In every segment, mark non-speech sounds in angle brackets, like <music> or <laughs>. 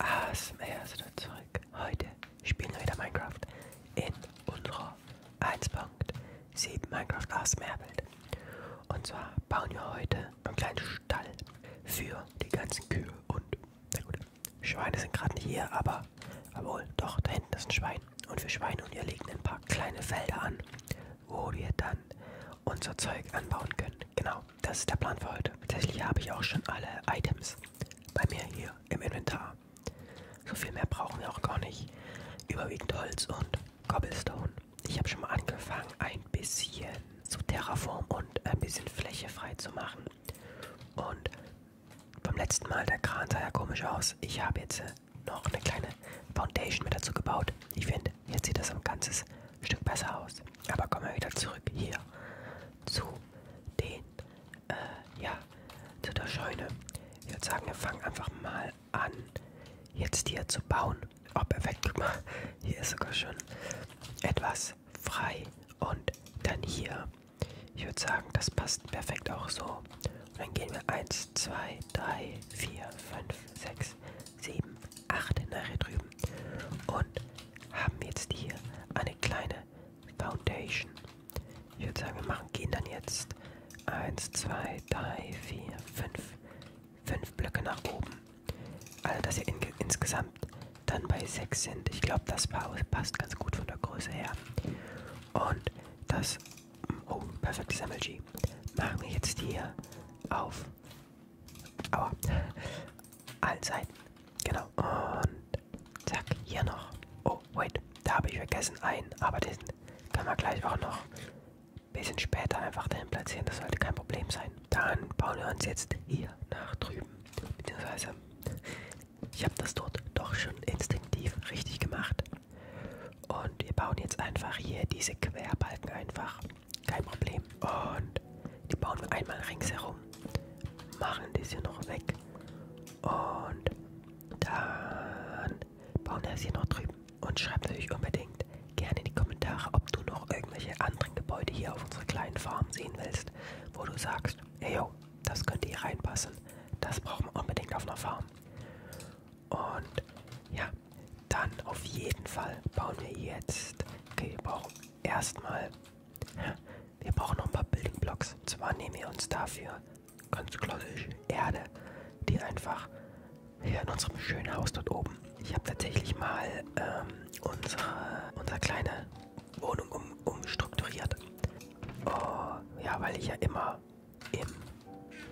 ASMR zurück. Heute spielen wir wieder Minecraft in unserer 1.7 Minecraft ASMR Welt. Und zwar bauen wir heute einen kleinen Stall für die ganzen Kühe und na gut, Schweine sind gerade nicht hier, aber obwohl, doch, da hinten ist ein Schwein. Und für Schweine und ihr legen ein paar kleine Felder an, wo wir dann unser Zeug anbauen können. Genau das ist der Plan für heute. Tatsächlich habe ich auch schon alle Items bei mir hier im Inventar. So viel mehr brauchen wir auch gar nicht. Überwiegend Holz und Cobblestone. Ich habe schon mal angefangen, ein bisschen zu Terraform und ein bisschen Fläche frei zu machen. Und beim letzten Mal, der Kran sah ja komisch aus. Ich habe jetzt äh, noch eine kleine Foundation mit dazu gebaut. Ich finde, jetzt sieht das ein ganzes Stück besser aus. Aber kommen wir wieder zurück hier zu den, äh, ja, zu der Scheune. Ich würde sagen, wir fangen einfach mal an, jetzt hier zu bauen. Oh, perfekt, guck mal, hier ist sogar schon etwas frei. Und dann hier, ich würde sagen, das passt perfekt auch so. Und dann gehen wir 1, 2, 3, 4, 5, 6, sieben, acht nachher drüben. Und haben jetzt hier eine kleine Foundation. Ich würde sagen, wir machen, gehen dann jetzt 1, 2, 3, 4, 5, 5 Blöcke nach oben. Also, dass wir in, insgesamt dann bei 6 sind. Ich glaube, das passt ganz gut von der Größe her. Und das, oh, perfektes MLG. Machen wir jetzt hier auf, aua, Allseiten. Genau. Und zack, hier noch. Oh, wait. Da habe ich vergessen einen. Aber diesen kann man gleich auch noch ein bisschen später einfach dahin platzieren. Das sollte kein Problem sein. Dann bauen wir uns jetzt hier nach drüben. Beziehungsweise, ich habe das dort doch schon instinktiv richtig gemacht. Und wir bauen jetzt einfach hier diese Querbalken einfach kein Problem. Und die bauen wir einmal ringsherum. Machen das hier noch weg. Und dann bauen wir das hier noch drüben. Und schreib natürlich unbedingt gerne in die Kommentare, ob du noch irgendwelche anderen Gebäude hier auf unserer kleinen Farm sehen willst, wo du sagst, ey yo, das könnte hier reinpassen. Das brauchen wir unbedingt auf einer Farm. Und ja, dann auf jeden Fall bauen wir jetzt. Okay, wir brauchen Erstmal, wir brauchen noch ein paar Building Blocks. Und zwar nehmen wir uns dafür ganz klassisch Erde, die einfach hier in unserem schönen Haus dort oben. Ich habe tatsächlich mal ähm, unsere, unsere kleine Wohnung um, umstrukturiert. Oh, ja, weil ich ja immer im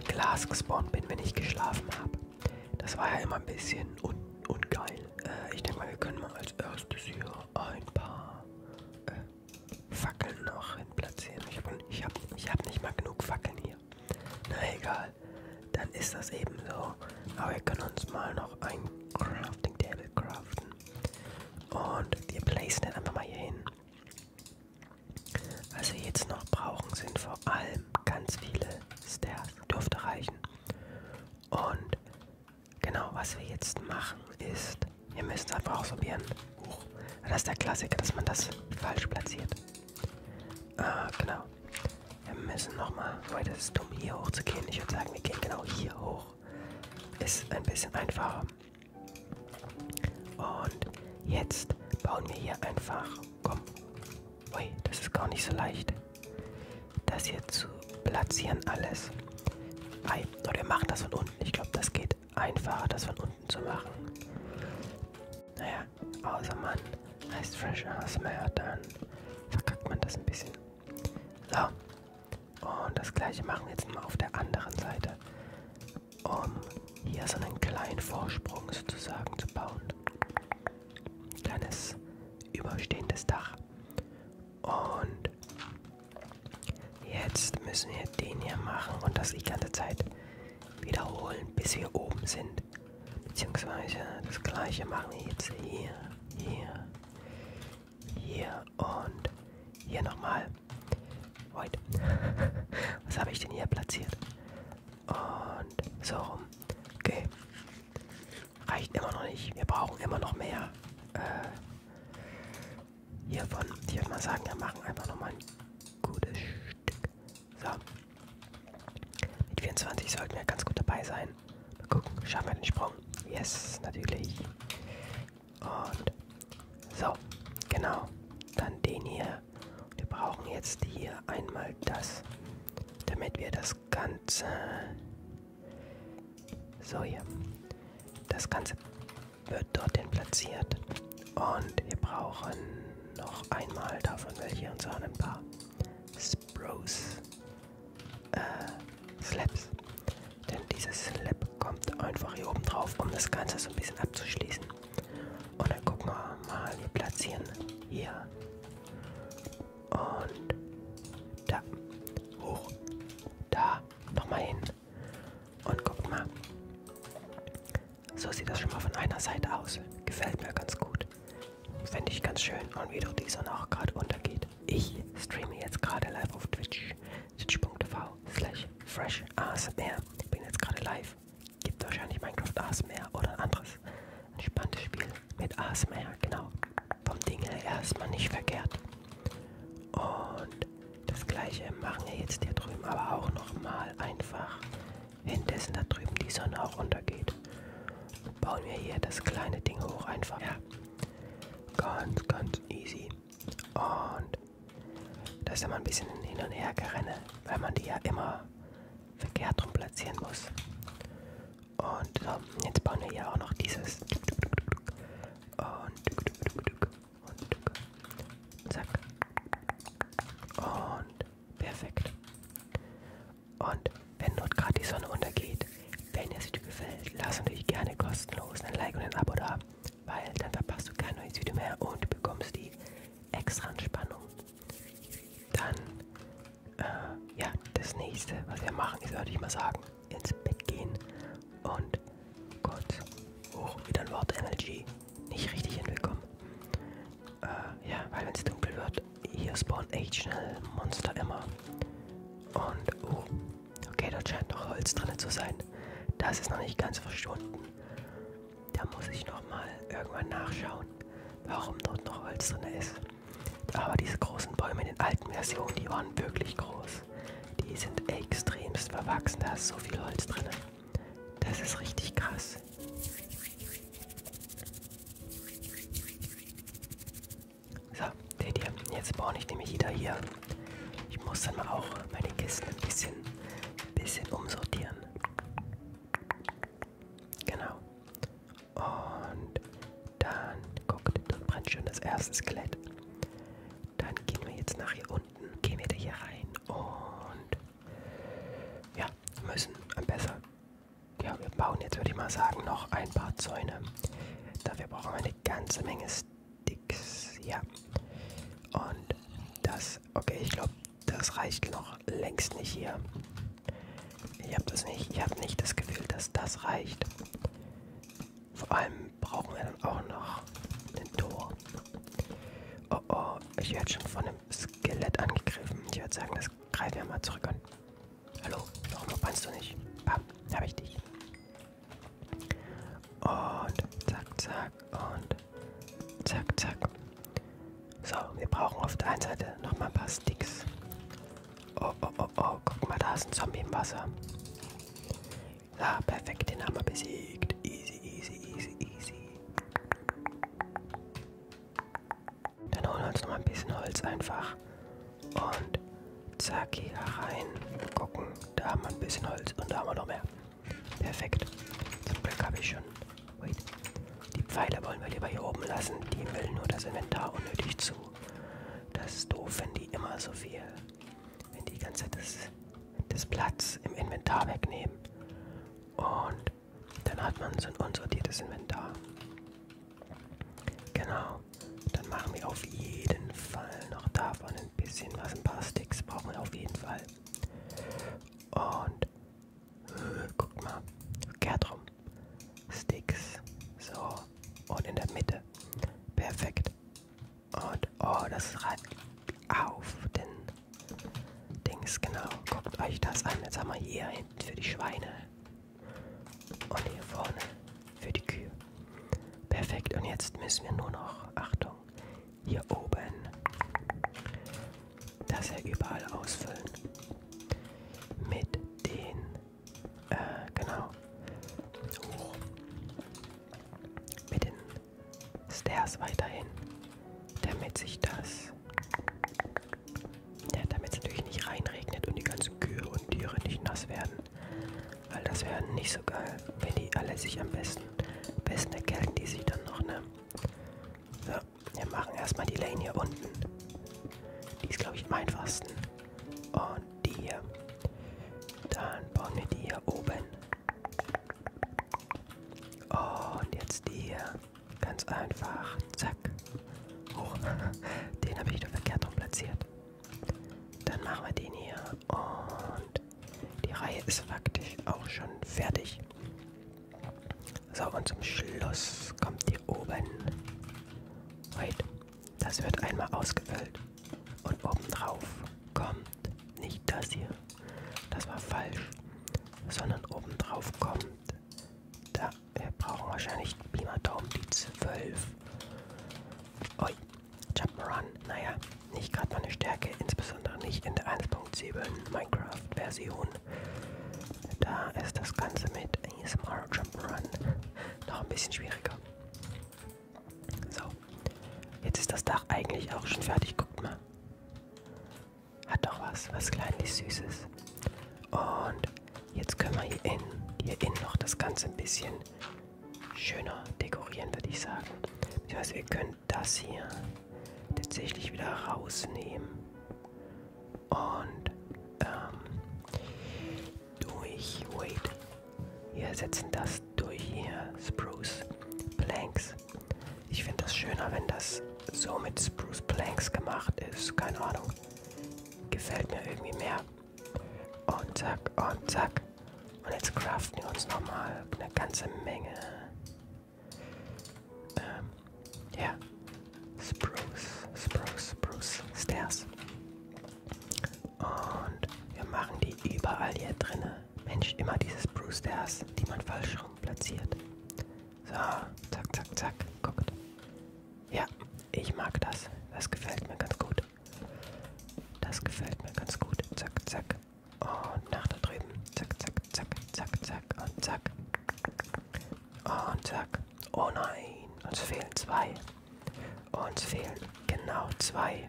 Glas gespawnt bin, wenn ich geschlafen habe. Das war ja immer ein bisschen un ungeil. Äh, ich denke mal, wir können mal als erstes hier ein paar äh, Fackeln noch hin platzieren. Ich habe ich hab, ich hab nicht mal genug Fackeln hier. Na egal, dann ist das eben so. Aber wir können uns mal noch ein Crafting Table craften. Und wir placen den einfach mal hier hin. Was wir jetzt noch brauchen, sind vor allem ganz viele Stairs. Dürfte reichen. Und genau, was wir jetzt machen ist, wir müssen einfach ausprobieren. Huch, das ist der Klassiker, dass man das falsch platziert. Ah, genau. Wir müssen nochmal, weil das ist dumm, hier hoch zu gehen. Ich würde sagen, wir gehen genau hier hoch. Ist ein bisschen einfacher. Und jetzt bauen wir hier einfach, komm, Ui, das ist gar nicht so leicht. Das hier zu platzieren alles. Ei, oder wir machen das von unten. Ich glaube, das geht einfacher, das von unten zu machen. Naja, außer man heißt Fresh ASMR, dann verkackt man das ein bisschen. So. Und das gleiche machen wir jetzt mal auf der anderen Seite. Um hier so einen kleinen Vorsprung sozusagen zu bauen kleines überstehendes Dach. Und jetzt müssen wir den hier machen und das die ganze Zeit wiederholen, bis wir oben sind. Beziehungsweise das gleiche machen wir jetzt hier, hier, hier und hier nochmal. Wait. <laughs> Was habe ich denn hier platziert? Und so rum. Okay. Reicht immer noch nicht. Wir brauchen immer noch mehr. Äh, hiervon. Ich würde mal sagen, wir machen einfach nochmal ein gutes Stück. So. Mit 24 sollten wir ganz gut dabei sein. Mal gucken, schaffen wir den Sprung. Yes, natürlich. Und so, genau. Dann den hier. Wir brauchen jetzt hier einmal das, damit wir das das Ganze. So hier. Das Ganze wird dorthin platziert. Und wir brauchen noch einmal davon welche und zwar ein paar Spruce äh, Slaps. Denn dieses Slap kommt einfach hier oben drauf, um das Ganze so ein bisschen abzuschließen. Und dann gucken wir mal, wir platzieren hier und da. Hoch. Da. Nochmal hin. Und guckt mal. So sieht das schon mal von einer Seite aus. Gefällt mir ganz gut. Fände ich ganz schön. Und wie doch die Sonne auch gerade untergeht. Ich streame jetzt gerade live auf Twitch. Twitch.tv slash fresh ASMR. Bin jetzt gerade live. Gibt wahrscheinlich Minecraft ASMR oder anderes entspanntes Spiel mit ASMR, genau. Vom Ding her erstmal nicht verkehrt. Und das gleiche machen wir jetzt hier drüben, aber auch nochmal einfach, währenddessen da drüben die Sonne auch untergeht. Und bauen wir hier das kleine Ding hoch einfach. Ja. Ganz, ganz easy. Und das ist immer ein bisschen hin und her gerenne, weil man die ja immer verkehrt drum platzieren muss. Und so, ähm, jetzt bauen wir hier auch noch dieses. Und, und zack. Und perfekt. Und wenn dort gerade die Sonne untergeht, wenn es dir gefällt, lass natürlich gerne kostenlos ein Like und ein Abo da, weil dann verpasst du kein neues Video mehr und du bekommst die extra Entspannung. Dann äh, ja, das nächste, was wir machen, ist, würde ich mal sagen, ins Bett gehen und kurz hoch wieder ein Wort Energy nicht richtig hinbekommen. Äh, ja, weil wenn es dunkel wird, hier spawnen echt schnell Monster immer. Und, oh, okay, dort scheint noch Holz drin zu sein. Das ist noch nicht ganz verschwunden. Da muss ich nochmal irgendwann nachschauen, warum dort noch Holz drin ist. Aber diese großen Bäume in den alten Versionen, die waren wirklich groß. Die sind extremst verwachsen, da ist so viel Holz drin. Das ist richtig krass. So, seht ihr, jetzt baue ich nämlich wieder hier. Ich muss dann mal auch meine Kisten ein bisschen, bisschen umsortieren. Genau. Und dann, guckt, dort brennt schon das erste Skelett. Dann gehen wir jetzt nach hier unten, gehen wir da hier rein und ja, müssen besser. Ja, wir bauen jetzt, würde ich mal sagen, noch ein paar Zäune. Dafür brauchen wir eine ganze Menge Sticks. Ja. Und das, okay, ich glaube, das reicht noch längst nicht hier. Ich habe das nicht. Ich habe nicht das Gefühl, dass das reicht. Vor allem brauchen wir dann auch noch ein Tor. Oh oh, ich werde schon von einem Skelett angegriffen. Ich würde sagen, das greifen wir mal zurück an. Hallo, warum kannst du nicht? Bam, habe ich dich. Und zack, zack und zack, zack. So, wir brauchen auf der einen Seite nochmal ein paar Sticks. Oh, oh, oh, oh, guck mal, da ist ein Zombie im Wasser. Ja, ah, perfekt, den haben wir besiegt. Easy, easy, easy, easy. Dann holen wir uns nochmal ein bisschen Holz einfach. Und zack, hier rein. Gucken, da haben wir ein bisschen Holz und da haben wir noch mehr. Perfekt. Zum Glück habe ich schon Wait. Die Pfeile wollen wir lieber hier oben lassen. Die müllen nur das Inventar unnötig zu. Das ist doof, wenn die immer so viel. Wenn die ganze das, das Platz im Inventar wegnehmen. Und dann hat man so ein unsortiertes Inventar. Genau. Dann machen wir auf jeden Fall noch davon ein bisschen was. Ein paar Sticks brauchen wir auf jeden Fall. Und Guck mal. Kehrt rum. Sticks. So. Und in der Mitte. Perfekt. Und oh, das reibt auf den Dings, genau. Guckt euch das an. Jetzt haben wir hier hinten für die Schweine. Und hier vorne für die Kühe. Perfekt. Und jetzt müssen wir nur noch, Achtung, hier oben das er überall ausfüllen. Mit den, äh, genau. Hoch. Mit den Stairs weiterhin, damit sich das, ja, damit es natürlich nicht reinregnet und die ganzen Kühe und Tiere nicht nass werden. Weil das wäre nicht so geil, wenn die alle sich am besten, am besten erkälten die sich dann noch, ne? Ja wir machen erstmal die Lane hier unten. Die ist, glaube ich, am einfachsten. Und die hier. Dann bauen wir die hier oben. Und jetzt die hier. Ganz einfach. Zack. Hoch. <laughs> Den habe ich wieder verkehrt rum platziert. Dann machen wir den hier. Und die Reihe ist faktisch auch schon fertig. So, und zum Schluss kommt hier oben. Wait, das wird einmal ausgefüllt. Und obendrauf kommt nicht das hier. Das war falsch. Sondern obendrauf kommt. Da, wir brauchen wahrscheinlich Beamer-Dome, die 12. Ui, Jump'n'Run. Naja, nicht gerade meine Stärke, insbesondere nicht in der 1.7 Minecraft-Version. Da ist das Ganze mit ASMR Jump'n'Run noch ein bisschen schwieriger. So, jetzt ist das Dach eigentlich auch schon fertig. Guckt mal. Hat doch was, was kleinlich Süßes. Und jetzt können wir hier innen, hier innen noch das Ganze ein bisschen schöner dekorieren, würde ich sagen. Das heißt, wir können das hier tatsächlich wieder rausnehmen und ähm, durch Wait. Wir ersetzen das durch hier Spruce Planks. Ich finde das schöner, wenn das so mit Spruce Planks gemacht ist. Keine Ahnung. Gefällt mir irgendwie mehr. Und zack, und zack. Und jetzt craften wir uns nochmal eine ganze Menge um, ähm, yeah. Spruce, Spruce, Spruce Stairs. Und wir machen die überall hier drinnen. Mensch, immer diese Spruce Stairs, die man falsch rum platziert. So, zack, zack, zack. Guckt. Ja, ich mag das. Das gefällt mir ganz gut. Das gefällt mir ganz gut. Zack, zack. Und nach da drüben. Zack, zack, zack, zack, zack und zack. Und zack. Oh nein, uns fehlen zwei. Uns fehlen genau zwei.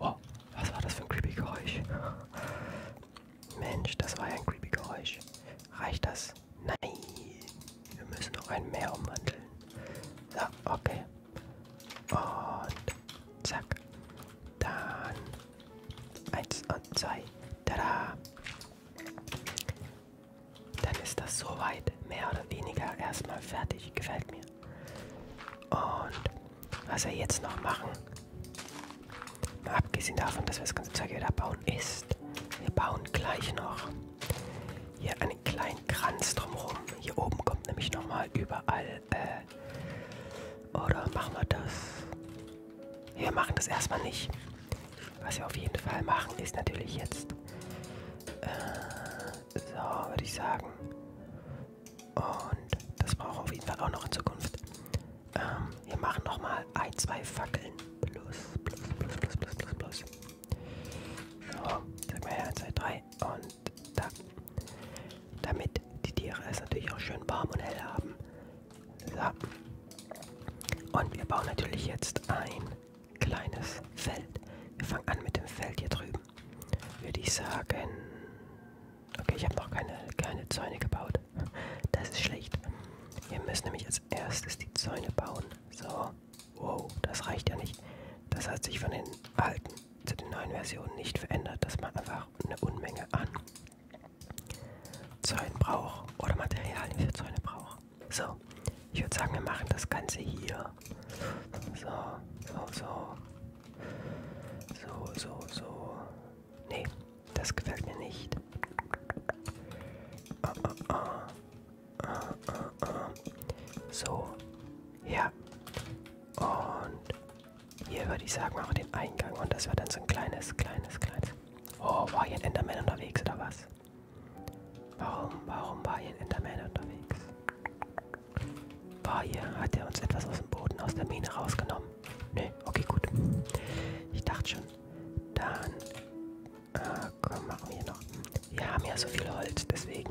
Oh, was war das für ein creepy Geräusch? Mensch, das war ja ein creepy Geräusch. Reicht das? Nein. Wir müssen noch einen mehr umwandeln. So, okay. Und zack. Dann eins und zwei. Tada. Dann ist das soweit mehr oder weniger erstmal fertig. Gefällt mir. Und was wir jetzt noch machen, mal abgesehen davon, dass wir das ganze Zeug wieder bauen, ist, wir bauen gleich noch hier einen kleinen Kranz drumherum. Hier oben kommt nämlich nochmal überall, äh, oder machen wir das? Wir machen das erstmal nicht. Was wir auf jeden Fall machen, ist natürlich jetzt. Äh, so, würde ich sagen. Und das braucht auf jeden Fall auch noch in Zukunft. Ähm, wir machen nochmal ein, zwei Fackeln. Plus, plus, plus, plus, plus, plus, plus. So, sag mal her, 1, 2, 3 und da. Damit die Tiere es natürlich auch schön warm und hell haben, so. Und wir bauen natürlich jetzt ein kleines Feld. Wir fangen an mit dem Feld hier drüben. Würde ich sagen... Okay, ich habe noch keine, keine Zäune gebaut. Das ist schlecht. Wir müssen nämlich als erstes die Zäune bauen. So. Wow, das reicht ja nicht. Das hat sich von den alten zu den neuen Versionen nicht verändert. Das macht einfach eine Unmenge an Zäune braucht oder Materialien für Zäune braucht. So, ich würde sagen, wir machen das Ganze hier. So, so, so. So, so, so. Nee, das gefällt mir nicht. Ah, ah, ah. ah, ah, ah. So, ja. Und hier würde ich sagen, auch den Eingang. Und das wird dann so ein kleines, kleines, kleines. Oh, war hier ein Enderman unterwegs oder was? Warum, warum war hier ein Enderman unterwegs? War hier, hat er uns etwas aus dem Boden, aus der Mine rausgenommen? Nö, nee, okay, gut. Ich dachte schon. Dann, äh, komm, machen wir hier noch. Wir haben ja so viel Holz, deswegen.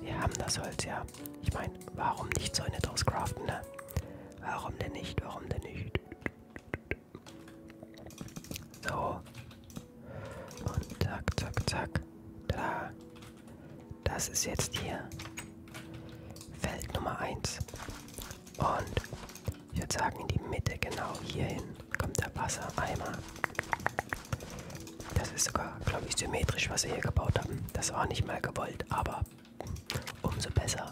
Wir haben das Holz, ja. Ich meine, warum nicht Zäune draus craften, ne? Warum denn nicht? Warum denn nicht? So. Und zack, zack, zack. Da. Das ist jetzt hier Feld Nummer 1. Und ich würde sagen, in die Mitte, genau hierhin, kommt der Wassereimer. Das ist sogar, glaube ich, symmetrisch, was wir hier gebaut haben. Das war nicht mal gewollt, aber Umso besser.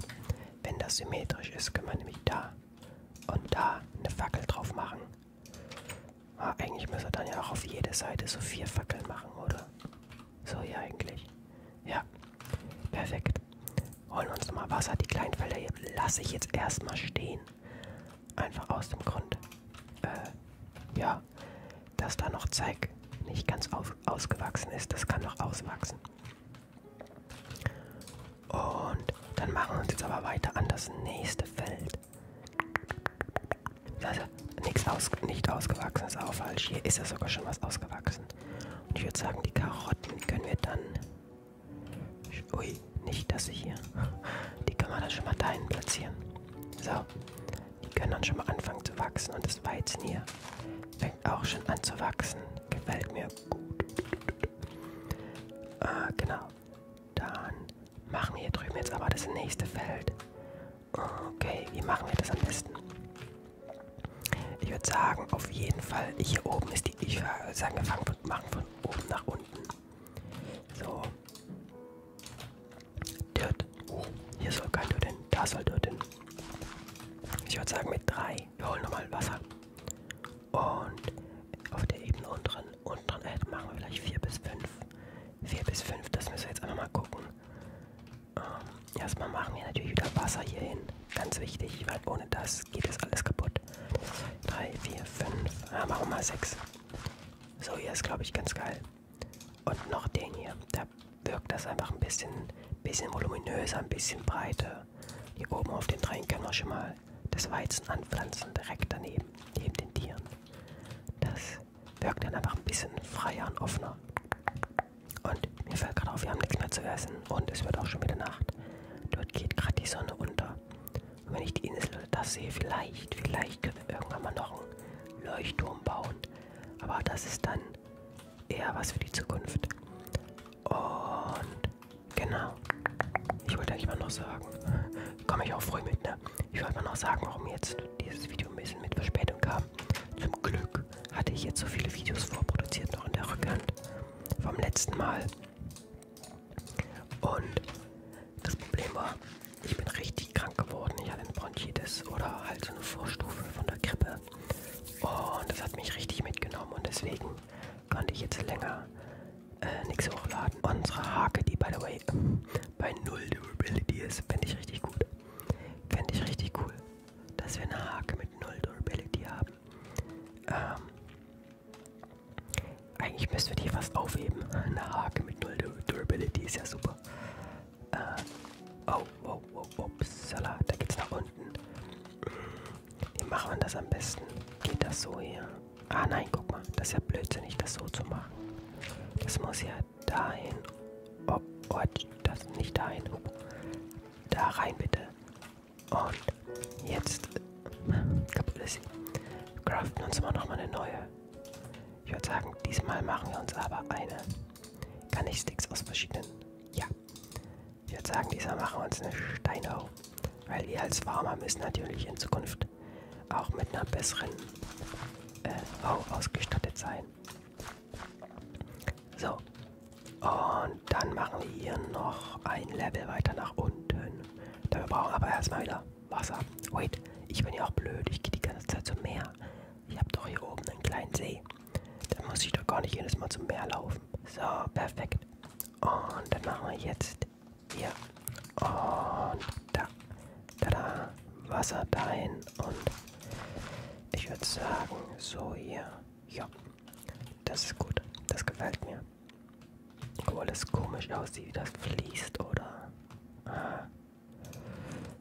Wenn das symmetrisch ist, können wir nämlich da und da eine Fackel drauf machen. Ah, eigentlich müssen wir dann ja auch auf jede Seite so vier Fackeln machen, oder? So hier eigentlich. Ja, perfekt. Holen wir uns nochmal Wasser. Die kleinen Felder hier lasse ich jetzt erstmal stehen. Einfach aus dem Grund, äh, ja, dass da noch Zeig nicht ganz auf, ausgewachsen ist. Das kann noch auswachsen. Und dann machen wir uns jetzt aber weiter an das nächste Feld. Also nichts aus, nicht ausgewachsenes auch falsch. Hier ist ja sogar schon was ausgewachsen. Und ich würde sagen, die Karotten, die können wir dann. Ui, nicht das hier. <laughs> Die können wir dann schon mal dahin platzieren. So, die können dann schon mal anfangen zu wachsen. Und das Weizen hier fängt auch schon an zu wachsen. Gefällt mir gut. Äh, genau. Dann machen wir hier drüben jetzt aber das nächste Feld. Okay, wie machen wir das am besten? Ich würde sagen, auf jeden Fall, hier oben ist die, ich würde äh, sagen, wir fangen, machen von oben nach unten. So. Dirt. Oh, hier soll kein Dirt hin, da soll Dirt hin. Ich würde sagen, mit drei wir holen nochmal Wasser. Und auf der Ebene unteren, unteren Erde machen wir vielleicht 4 bis 5. 4 bis 5, das müssen wir jetzt einfach mal gucken. Ähm, erstmal machen wir natürlich wieder Wasser hier hin. Ganz wichtig, weil ohne das geht das alles kaputt. 3, 4, 5, ah, machen wir mal 6. So, hier ist glaube ich ganz geil. Und noch den hier da wirkt das einfach ein bisschen, bisschen voluminöser, ein bisschen breiter. Hier oben auf den Dreieck können wir schon mal das Weizen anpflanzen, direkt daneben, neben den Tieren. Das wirkt dann einfach ein bisschen freier und offener. Und mir fällt gerade auf, wir haben nichts mehr zu essen und es wird auch schon wieder Nacht. Dort geht gerade die Sonne unter. Und wenn ich die Insel oder das sehe, vielleicht, vielleicht können wir irgendwann mal noch einen Leuchtturm bauen. Aber das ist dann eher was für die Zukunft. Und genau. Ich wollte eigentlich mal noch sagen, <laughs> komme ich auch früh mit, ne? Ich wollte mal noch sagen, warum jetzt dieses Video ein bisschen mit Verspätung kam. Zum Glück hatte ich jetzt so viele Videos vorproduziert noch in der Rückhand vom letzten Mal. Und das Problem war, ich bin richtig krank geworden. Ich hatte eine Bronchitis oder halt so eine Vorstufe von der Grippe. Und das hat mich richtig mitgenommen und deswegen konnte ich jetzt länger äh, nichts hochladen. Unsere Hake, die by the way bei null Durability ist, finde ich richtig gut. Finde ich richtig cool, dass wir eine Hake mit null Durability haben. Ähm, eigentlich müssten wir die fast aufheben. Eine Hake mit null Durability ist ja super. Äh, oh, Wow, wow, upsala, da geht's nach unten. Wie macht man das am besten? Geht das so hier? Ah nein, guck mal, das ist ja blödsinnig, das so zu machen. Das muss ja dahin. Oh, oh das nicht dahin. Oh. Da rein bitte. Und jetzt kaputt ist craften uns mal nochmal eine neue. Ich würde sagen, diesmal machen wir uns aber eine. Kann ich Sticks aus verschiedenen? Ja. Ich würde sagen, diesmal machen wir uns eine Steinau. Weil wir als Farmer müssen natürlich in Zukunft auch mit einer besseren äh, Au ausgestattet sein. So. Und dann machen wir hier noch ein Level weiter nach unten. Da wir brauchen aber erstmal wieder Wasser. Wait, ich bin ja auch blöd. Ich gehe die ganze Zeit zum Meer. Ich habe doch hier oben einen kleinen See. Da muss ich doch gar nicht jedes Mal zum Meer laufen. So, perfekt. Und dann machen wir jetzt hier und da. Tada. Wasser dahin und ich würde sagen, so hier. Ja, das ist gut. Das gefällt mir. Obwohl das komisch aussieht, wie das fließt, oder? Ah.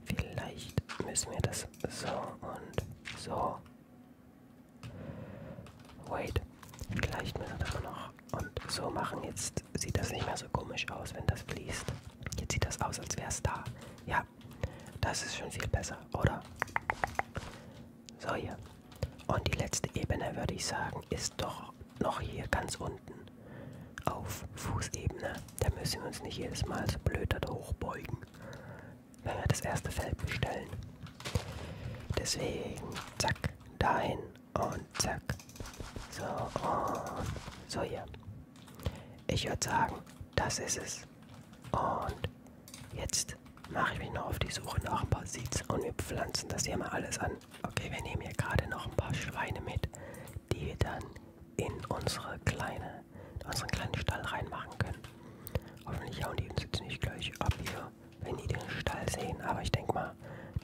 Vielleicht müssen wir das so und so Wait, gleicht mir das noch. Und so machen jetzt sieht das nicht mehr so komisch aus, wenn das fließt. Jetzt sieht das aus, als wäre es da. Ja, das ist schon viel besser, oder? So hier. Und die letzte Ebene, würde ich sagen, ist doch noch hier ganz unten. Auf Fußebene. Da müssen wir uns nicht jedes Mal so blöd hochbeugen. Naja, das erste Feld bestellen. Deswegen, zack, dahin und zack. So, und so hier. Ich würde sagen, das ist es. Und jetzt mache ich mich noch auf die Suche nach ein paar Seeds und wir pflanzen das hier mal alles an. Okay, wir nehmen hier gerade noch ein paar Schweine mit, die wir dann in unsere kleine, in unseren kleinen Stall reinmachen können. Hoffentlich hauen die uns jetzt nicht gleich ab hier, wenn die den Stall sehen. Aber ich denke mal,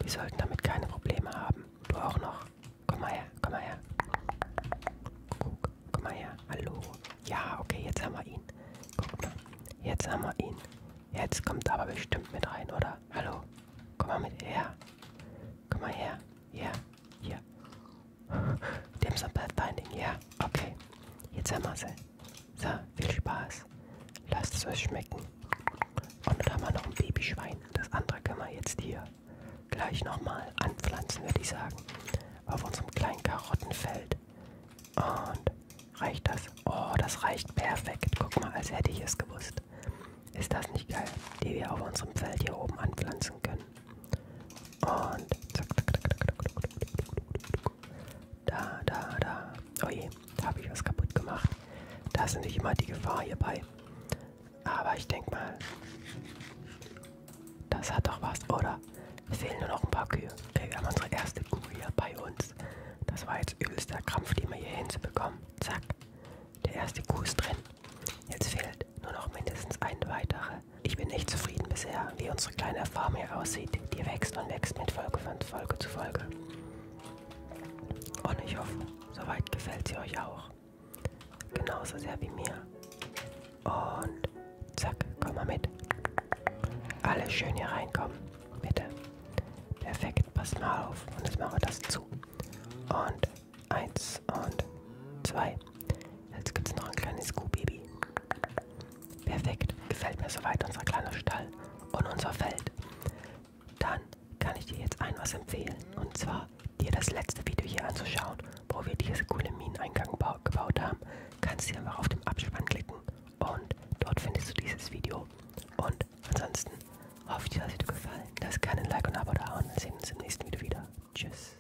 die sollten damit keine Probleme haben. Du auch noch. Komm mal her, komm mal her. Guck, komm mal her. Hallo. Ja, okay, jetzt haben wir ihn. Guck mal, jetzt haben wir ihn. Jetzt kommt aber bestimmt mit rein, oder? Hallo. Komm mal mit her. Komm mal her. Ja, hier. Die haben so ein Pathfinding, ja. Okay. Jetzt haben wir sie. So, viel Spaß. Lasst es euch schmecken. Und dann haben wir noch ein Babyschwein. Das andere können wir jetzt hier gleich nochmal anpflanzen, würde ich sagen. Auf unserem kleinen Karottenfeld. Und reicht das? Oh, das reicht perfekt. Guck mal, als hätte ich es gewusst. Ist das nicht geil, die wir auf unserem Feld hier oben anpflanzen können? Und zack, zack, zack, zack, zack, zack, zack. Da, da, da. Oh je, da habe ich was kaputt gemacht. Da ist nicht immer die Gefahr hierbei. Aber ich denke mal, das hat doch was, oder? Es fehlen nur noch ein paar Kühe. Wir haben unsere erste Kuh hier bei uns. Das war jetzt übelster Krampf, die wir hier hinzubekommen. Zack. Der erste Kuh ist drin. Jetzt fehlt gibt nur noch mindestens eine weitere. Ich bin echt zufrieden bisher, wie unsere kleine Farm hier aussieht. Die wächst und wächst mit Folge von Folge zu Folge. Und ich hoffe, soweit gefällt sie euch auch. Genauso sehr wie mir. Und zack, komm mal mit. Alle schön hier reinkommen, bitte. Perfekt, pass mal auf. Und jetzt machen wir das zu. Und eins und zwei. Jetzt gibt es noch ein kleines Kuhbaby. Perfekt, gefällt mir soweit unser kleiner Stall und unser Feld. Dann kann ich dir jetzt ein was empfehlen. Und zwar dir das letzte Video hier anzuschauen, wo wir diese coole Mineneingang gebaut haben. Kannst du einfach auf dem Abspann klicken und dort findest du dieses Video. Und ansonsten hoffe ich, dir hat es dir gefallen. Lass gerne ein Like und ein Abo da und wir sehen uns im nächsten Video wieder. Tschüss.